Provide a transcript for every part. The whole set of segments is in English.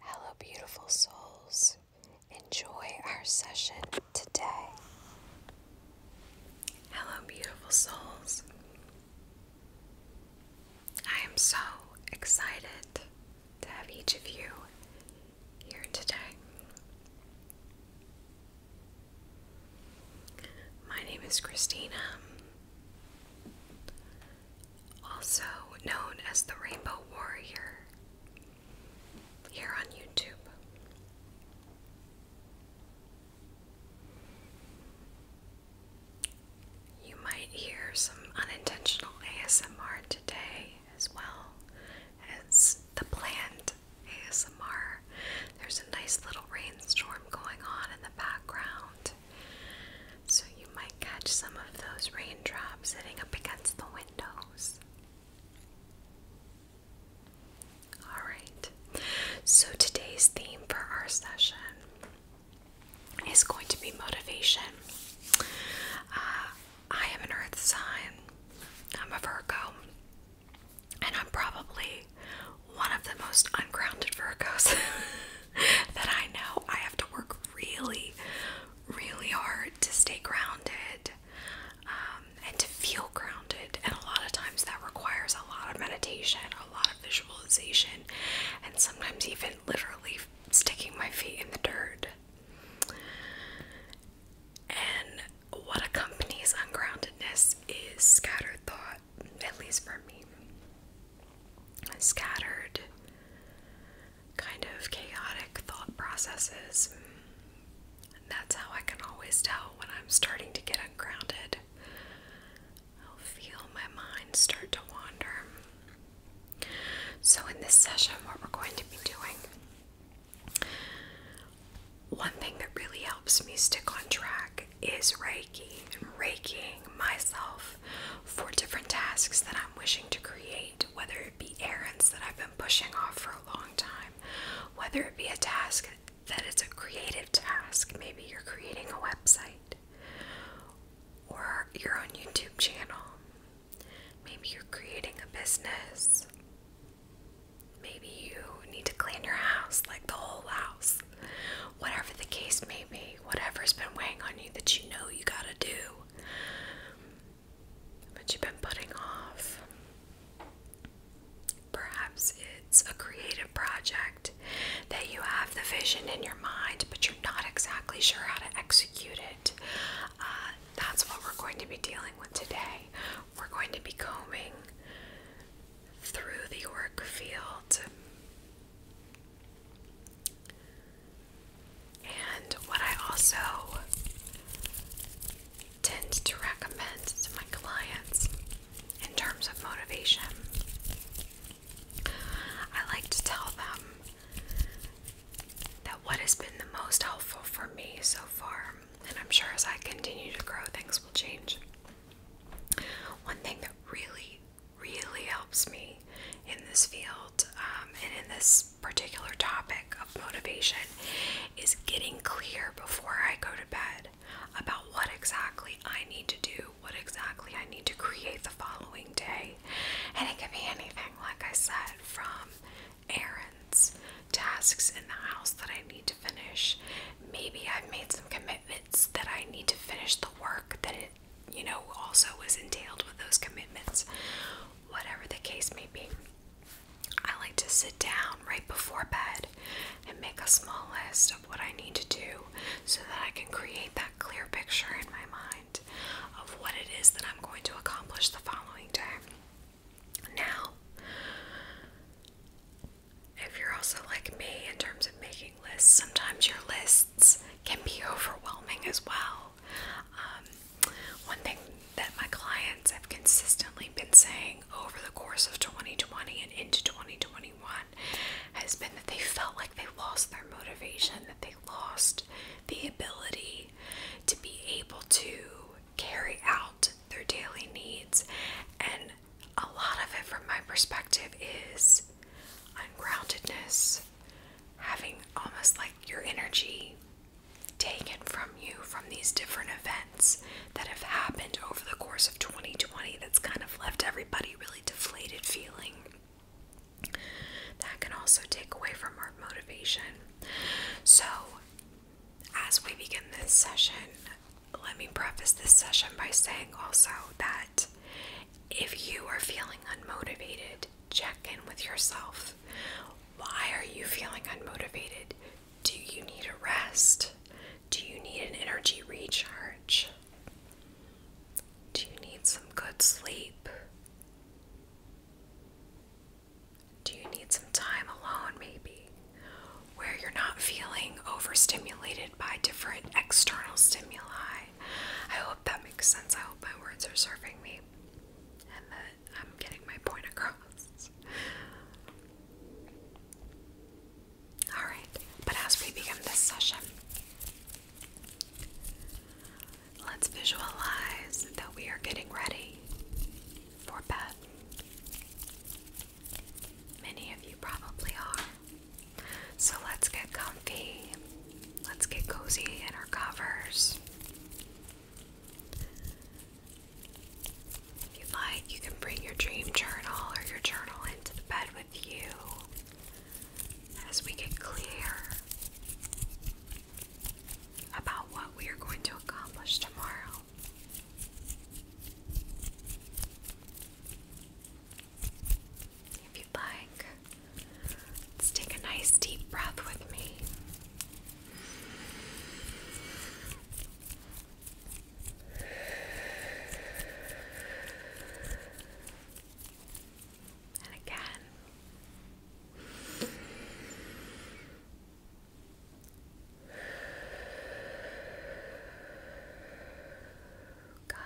Hello, beautiful souls. Enjoy our session today. Hello, beautiful souls. I am so excited to have each of you here today. My name is Christina also known as the Rainbow Warrior, here on YouTube. You might hear some unintentional ASMR today as well as the planned ASMR. There's a nice little rainstorm going on in the background. So you might catch some of those raindrops hitting up against the windows. Alright, so today's theme for our session is going to be motivation. Uh, I am an earth sign, I'm a Virgo, and I'm probably one of the most ungrounded Virgos that I know. I have to work really, really hard to stay grounded um, and to feel grounded. And a lot of times that requires a lot of meditation, a lot of visualization, and sometimes even literally sticking my feet in the dirt. And what accompanies ungroundedness is scattered thought, at least for me. Scattered kind of chaotic thought processes. that's how I can always tell when I'm starting to get ungrounded. I'll feel my mind start to wander. So, in this session, what we're going to be doing, one thing that really helps me stick on track is Reiki and myself myself for different tasks that I'm wishing to create, whether it be errands that I've been pushing off for a long time, whether it be a task that it's a creative task, maybe you're creating a website or your own YouTube channel, maybe you're creating a business, maybe you need to clean your house, like the whole house. Whatever the case may be, whatever's been weighing on you that you know you gotta do, that you've been putting off. Perhaps it's a creative project that you have the vision in your mind, but you're not exactly sure how to execute it. Uh, that's what we're going to be dealing with today. We're going to be combing through the work field and what I also tend to recommend to my clients in terms of motivation, I like to tell them that what has been the most helpful for me so far, and I'm sure as I continue to grow, things will change. One thing that really, really helps me in this field um, and in this particular topic of motivation is getting clear before I go to bed about what exactly I need to do, what exactly I need to create the following day. And it can be anything, like I said, from errands, tasks in the house that I need to finish. Maybe I've made some commitments that I need to finish the work that you know, also was entailed with those commitments. Whatever the case may be, I like to sit down right before bed and make a small list of what I need to do so that I can create that clear picture in my mind of what it is that I'm going to accomplish the following day. Now, if you're also like me in terms of making lists, sometimes your lists can be overwhelming as well. Um, one thing that my clients have consistently been saying over the course of 2020 and into 2021 has been that they felt like they lost their motivation, that they lost the ability to be able to carry out their daily needs. And a lot of it, from my perspective, is ungroundedness, having almost like your energy taken from you from these different events that have happened over the course of 2020 that's kind of left everybody really deflated feeling. That can also take away from our motivation. So, as we begin this session, let me preface this session by saying also that if you are feeling unmotivated, Check in with yourself. Why are you feeling unmotivated? Do you need a rest? Do you need an energy recharge? Do you need some good sleep? Do you need some time alone, maybe? Where you're not feeling overstimulated by different external stimuli. I hope that makes sense. I hope my words are serving me. I'm getting my point across. Alright, but as we begin this session, let's visualize that we are getting ready for bed. Many of you probably are. So let's get comfy Let's get cozy in our covers. If you'd like, you can bring your dream journal or your journal into the bed with you as we get clear about what we are going to accomplish tomorrow. If you'd like, Let's take a nice deep breath with me. And again. Good.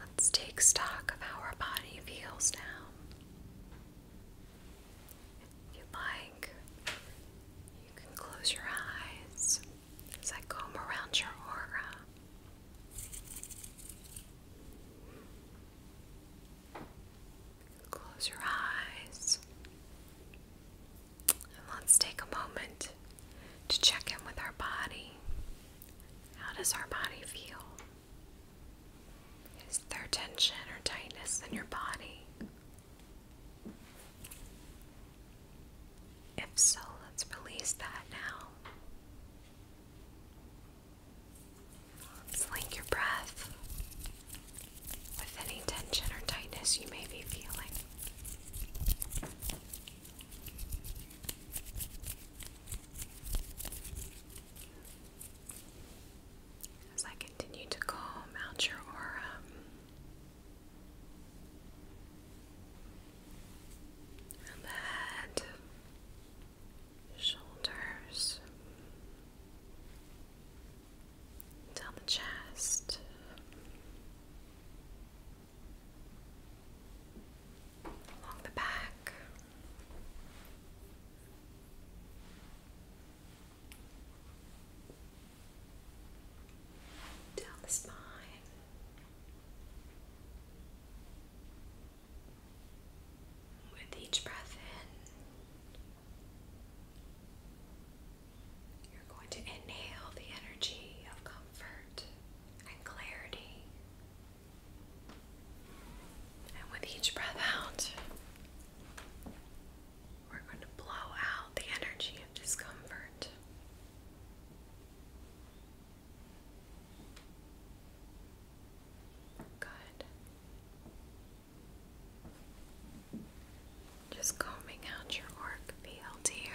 Let's take stock of how our body feels now. If you'd like, you can close your eyes as I comb around your aura. Close your eyes. And let's take a moment to check in with our body. How does our body feel? Is there tension or tightness in your body? If so, let's release that now. link your breath with any tension or tightness you may be feeling. As I continue to calm out your aura, head, shoulders, down the chest, along the back. Down the spine, with each breath in, you're going to inhale the energy of comfort and clarity and with each breath out, we're going to blow out the energy of discomfort. Good. Just combing out your orc field here.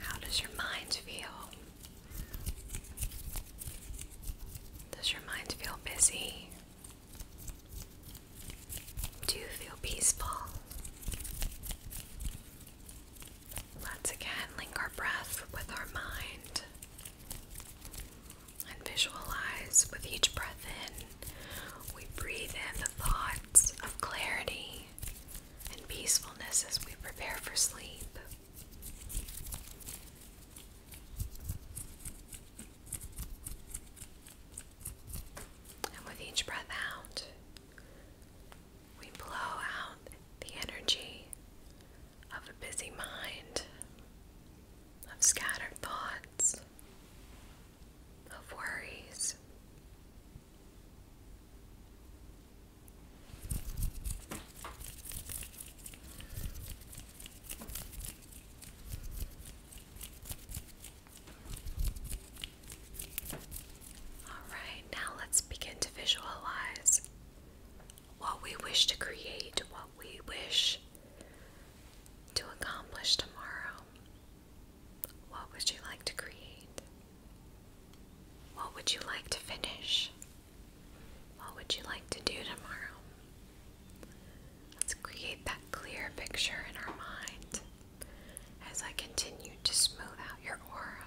How does your mind feel? Does your mind feel busy? Do you feel peaceful? Let's again link our breath with our mind and visualize with each breath in, we breathe in the thoughts of clarity and peacefulness as we prepare for sleep. And with each breath out, we blow out the energy of a busy mind, of scattered thoughts, of worries. All right, now let's begin to visualize what we wish to create, what we wish to accomplish tomorrow. What would you like to create? What would you like to finish? What would you like to do tomorrow? Let's create that clear picture in our mind as I continue to smooth out your aura.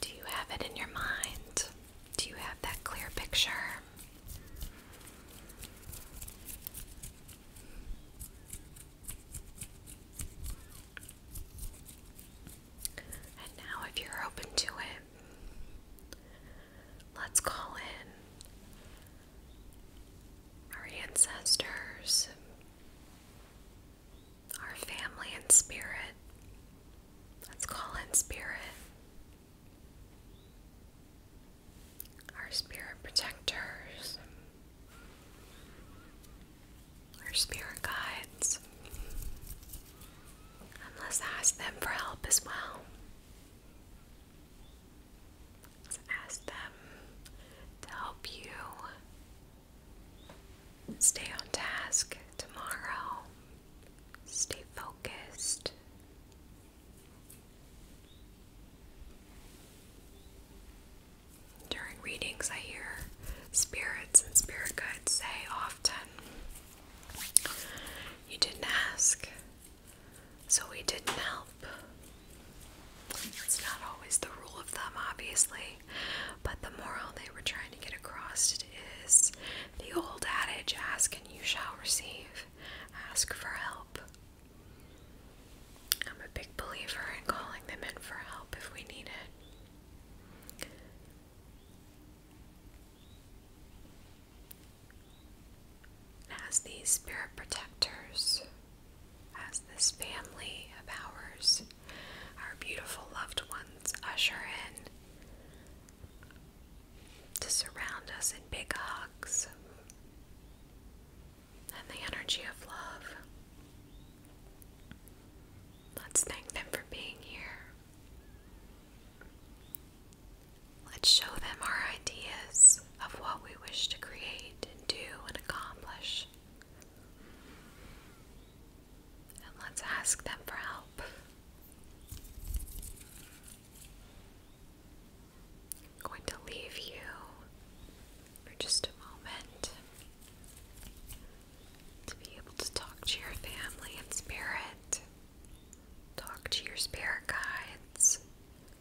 Do you have it in your mind? Do you have that clear picture? And now, if you're open to it, let's call in our ancestors our family and spirit. Let's call in spirit. Our spirit protectors. Our spirit guides. And let's ask them for help as well ask them to help you stay on task tomorrow, stay focused. During readings, I hear spirits and spirit guides say often, You didn't ask, so we didn't help. It's not always the rule of thumb, obviously, but the moral they were trying to get across is the old adage ask and you shall receive. Ask for help. I'm a big believer in calling them in for help if we need it. as these spirit protectors, as this family of ours, our beautiful loved ones, usher in to surround us in big hugs and the energy of love. Let's thank them for being here. Let's show them our ideas of what we wish to create and do and accomplish. And let's ask them for help. I'm going to leave you for just a moment to be able to talk to your family and spirit, talk to your spirit guides,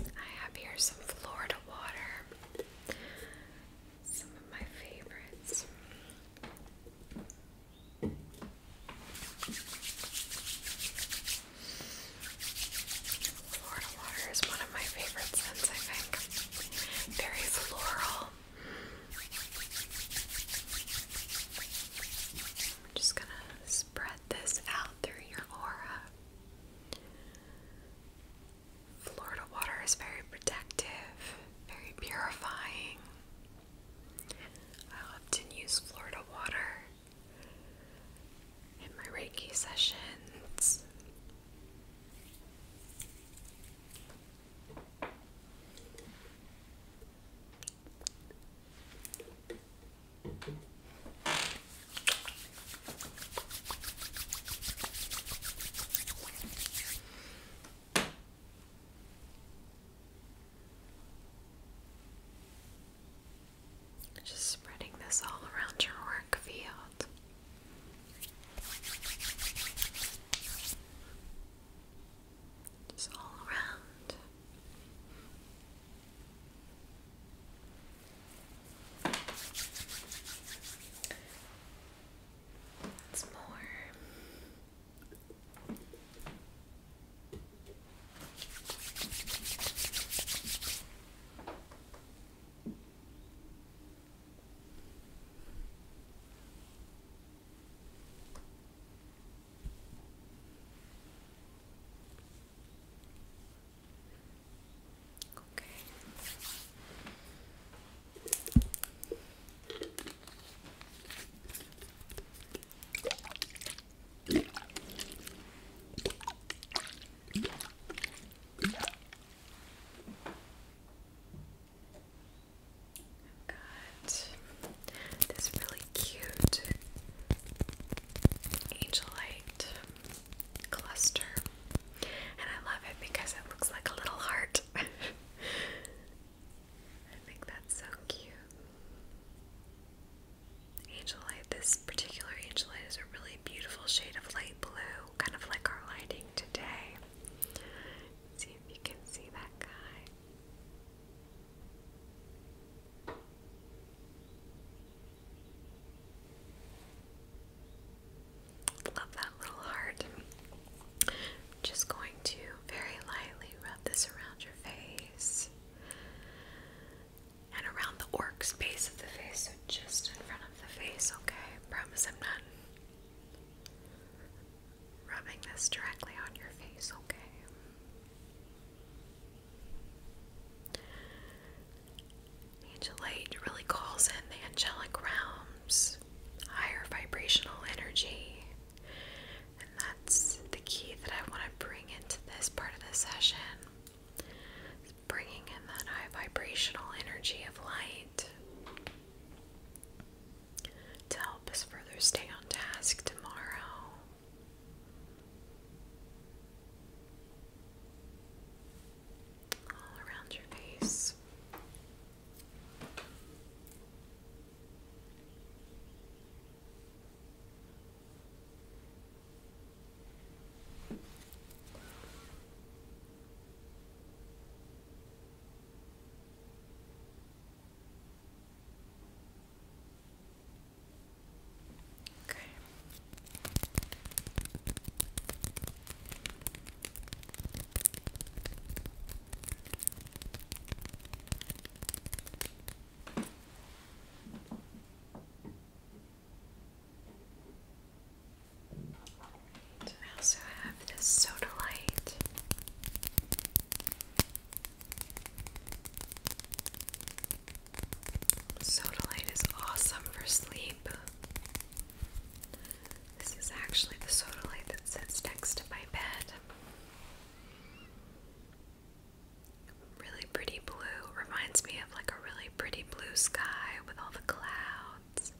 I have here some Florida water some of my favorites. Florida water is one of my favorite scents, I think. Very floral. i just gonna spread this out through your aura. Florida water is very protective, very purifying. I often use Florida water in my Reiki sessions. Just spreading this all around your work field. Just all around. It's more. Okay. i got this really cute angel cluster. And I love it because it looks like a little heart. I think that's so cute. Angelite, this particular angelite is a really beautiful shade of light blue, kind of like our lighting today. see if you can see that guy. Love that little heart. just going to very lightly rub this around your face and around the orc space of the face, so just in front of the face, okay? promise I'm not rubbing this directly on your face, okay? Angel light really calls in the angelic realms, higher vibrational energy. And that's the key that I want to bring into this part of the session. bringing in that high vibrational energy of light to help us further stay on task tomorrow all around your face. Okay. I also have this soda light. Soda light is awesome for sleep. This is actually the soda light that sits next to my bed. Really pretty blue. Reminds me of like a really pretty blue sky with all the clouds.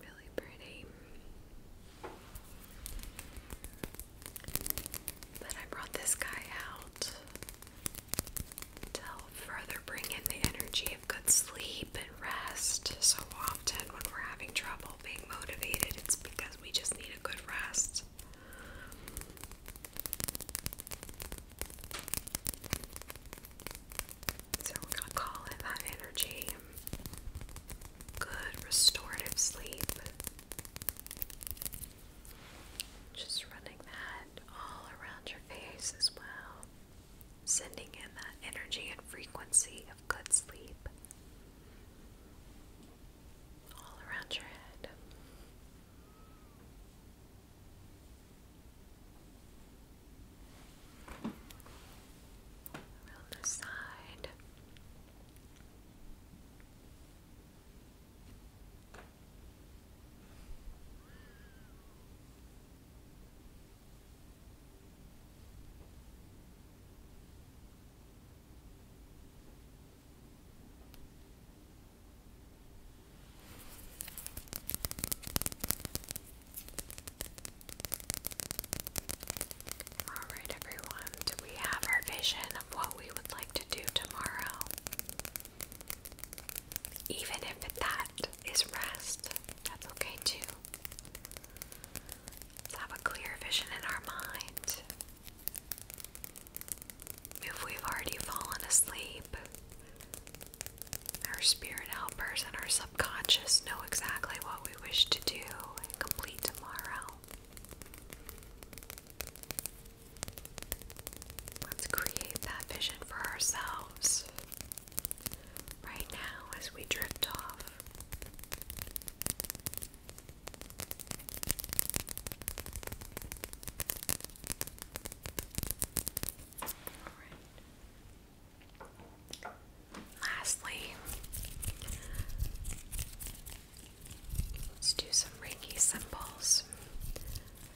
Really pretty. But I brought this guy out to further bring in the energy of good sleep and rest. So often, when we're having trouble being motivated, it's because we just need a good rest. So, we're call it that energy good restorative sleep. Just running that all around your face as well, sending in that energy and frequency of good sleep all around your head. Around the side. All right, everyone, do we have our vision of what we would like to do tomorrow? Even if that is rest, that's okay too. Let's have a clear vision in our mind. If we've already fallen asleep, our spirit helpers and our subconscious know exactly what we wish to do and complete tomorrow. Let's create that vision for ourselves right now as we drift off. Lastly, let's do some Reiki symbols.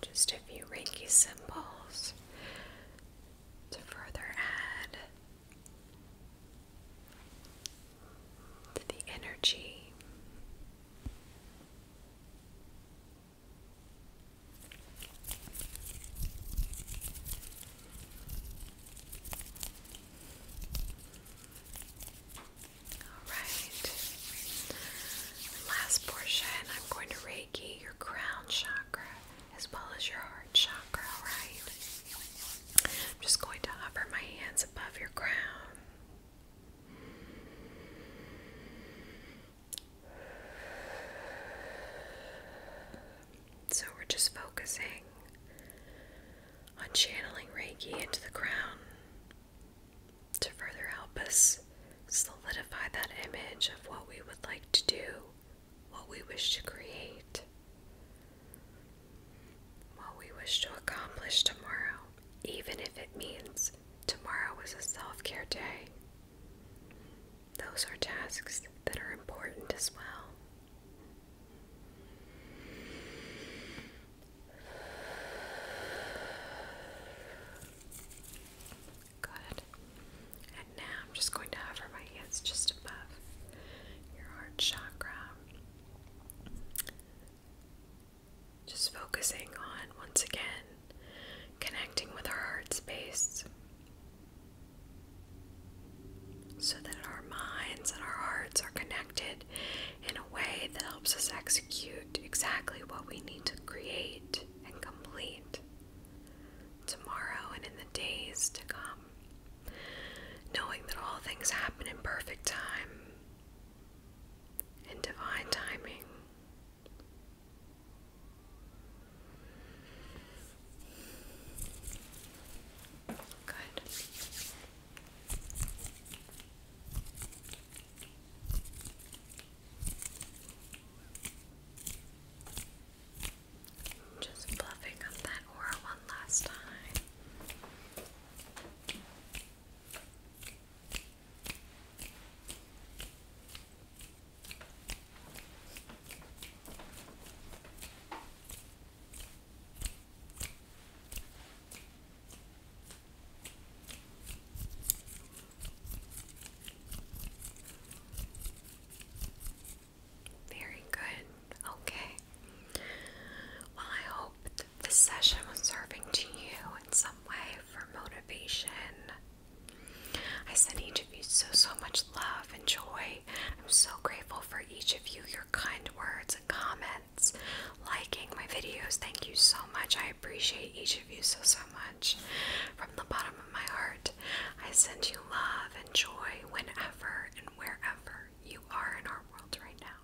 Just a few Reiki symbols to further add to the energy. Alright, last portion I'm going to Reiki your crown chakra as well as your heart chakra, Right. I'm just going to hover my hands above your crown. So we're just focusing on channeling Reiki into the crown to further help us solidify that image of what we would like to do, what we wish to create, what we wish to accomplish tomorrow, even if it means tomorrow is a self care day. Those are tasks that are important as well. Good. And now I'm just going to hover my hands just above your heart chakra. Just focusing on, once again, connecting with our heart space so that our minds and our hearts are connected in a way that helps us execute exactly what we need to create and complete tomorrow and in the days to come, knowing that all things happen in perfect time, in divine timing. Good. Just fluffing up that aura one last time. Very good. Okay. I hope this session was serving to you in some way for motivation I send each of you so, so much love and joy. I'm so grateful for each of you, your kind words and comments, liking my videos. Thank you so much. I appreciate each of you so, so much. From the bottom of my heart, I send you love and joy whenever and wherever you are in our world right now.